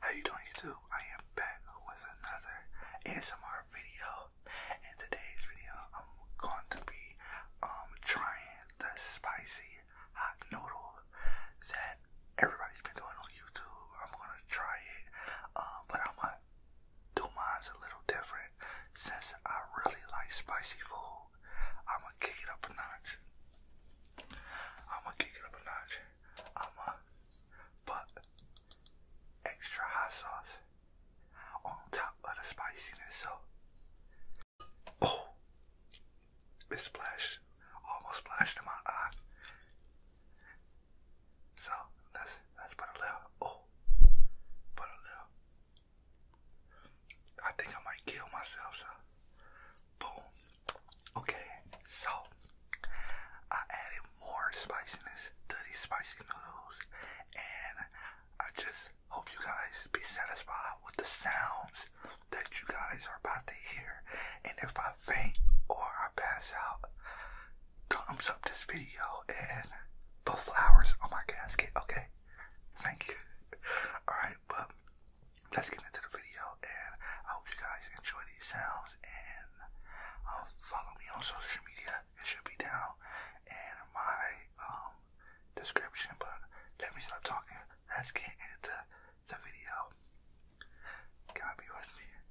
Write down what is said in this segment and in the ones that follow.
How you doing YouTube? I am back with another ASMR video. In today's video, I'm going to be um trying the spicy hot noodle that everybody's been doing on YouTube. I'm gonna try it, um, but I might do mine's a little different since I really like spicy food. I'm gonna kick it up a notch. I'm gonna kick it up a notch. I'm gonna put extra hot sauce on top of the spiciness. oh, it almost splashed in my eye. So let's let's put a little. Oh, put a little. I think I might kill myself. So, boom. Okay, so I added more spiciness to these spicy noodles, and I just hope you guys be satisfied with the sounds that you guys are about to hear. And if I faint or I pass out, thumbs up this video and put flowers on my casket, okay? Thank you. Alright, but let's get into the video and I hope you guys enjoy these sounds and um, follow me on social media. It should be down in my um, description, but let me stop talking. Let's get into the video. got be with me.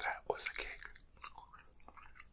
that was a cake.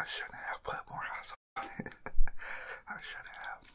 I shouldn't have put more house on I should have.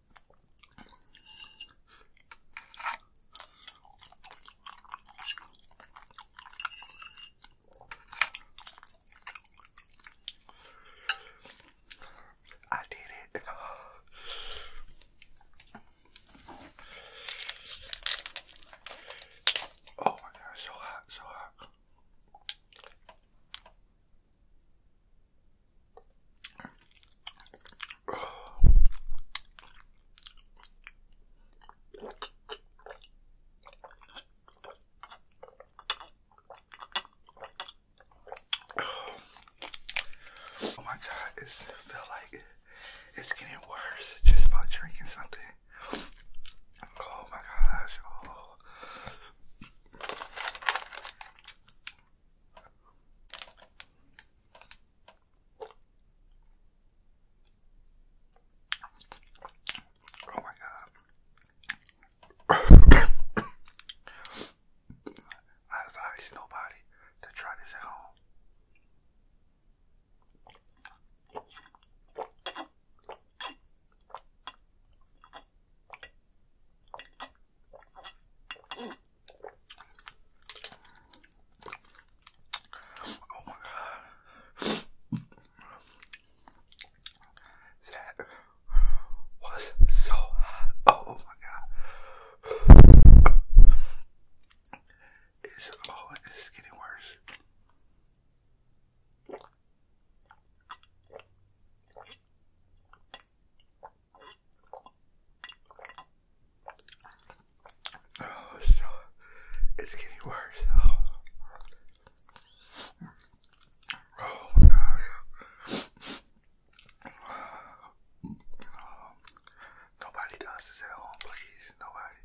I did it. Oh my god, so hot, so hot. Oh my god, it feel like it's getting worse just by drinking something. Oh my gosh. Oh. Oh my god. I advise nobody to try this at home. Oh my god. That was so hot. Oh my god. It's, oh, it's getting worse. Oh, so it's getting worse. Oh, oh my gosh. Nobody does this at please. Nobody.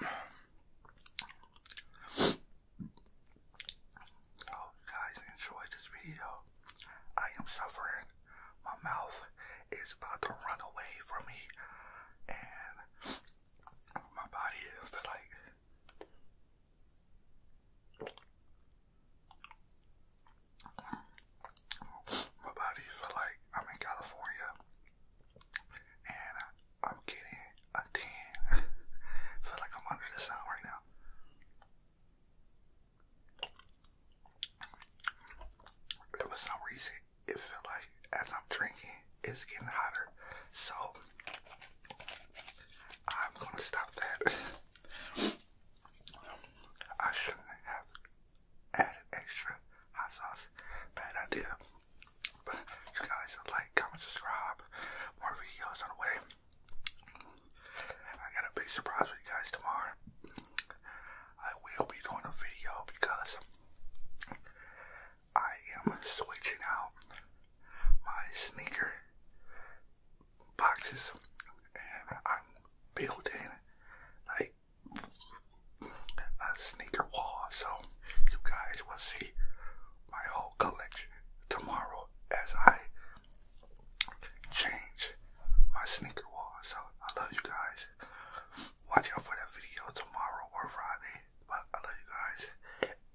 Hope oh, guys enjoyed this video. I am suffering. My mouth is about to run away from me, and my body is like. My body feel like I'm in California and I'm kidding a 10. I feel like I'm under the sun right now. for some reason, it felt like as I'm drinking, it's getting hotter. So, I'm gonna stop that. I shouldn't have added extra hot sauce. Bad idea you guys like, comment, subscribe. More videos on the way. I got a big surprise for you guys tomorrow. I will be doing a video because I am switching out my sneaker boxes and I'm building like a sneaker wall so you guys will see my whole collection tomorrow as I change my sneaker wall. So I love you guys. Watch out for that video tomorrow or Friday. But I love you guys.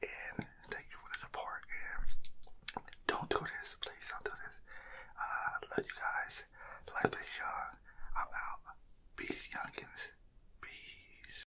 And thank you for the support. And don't do this. Please don't do this. I love you guys. Life is young. I'm out. Peace, youngins. Peace.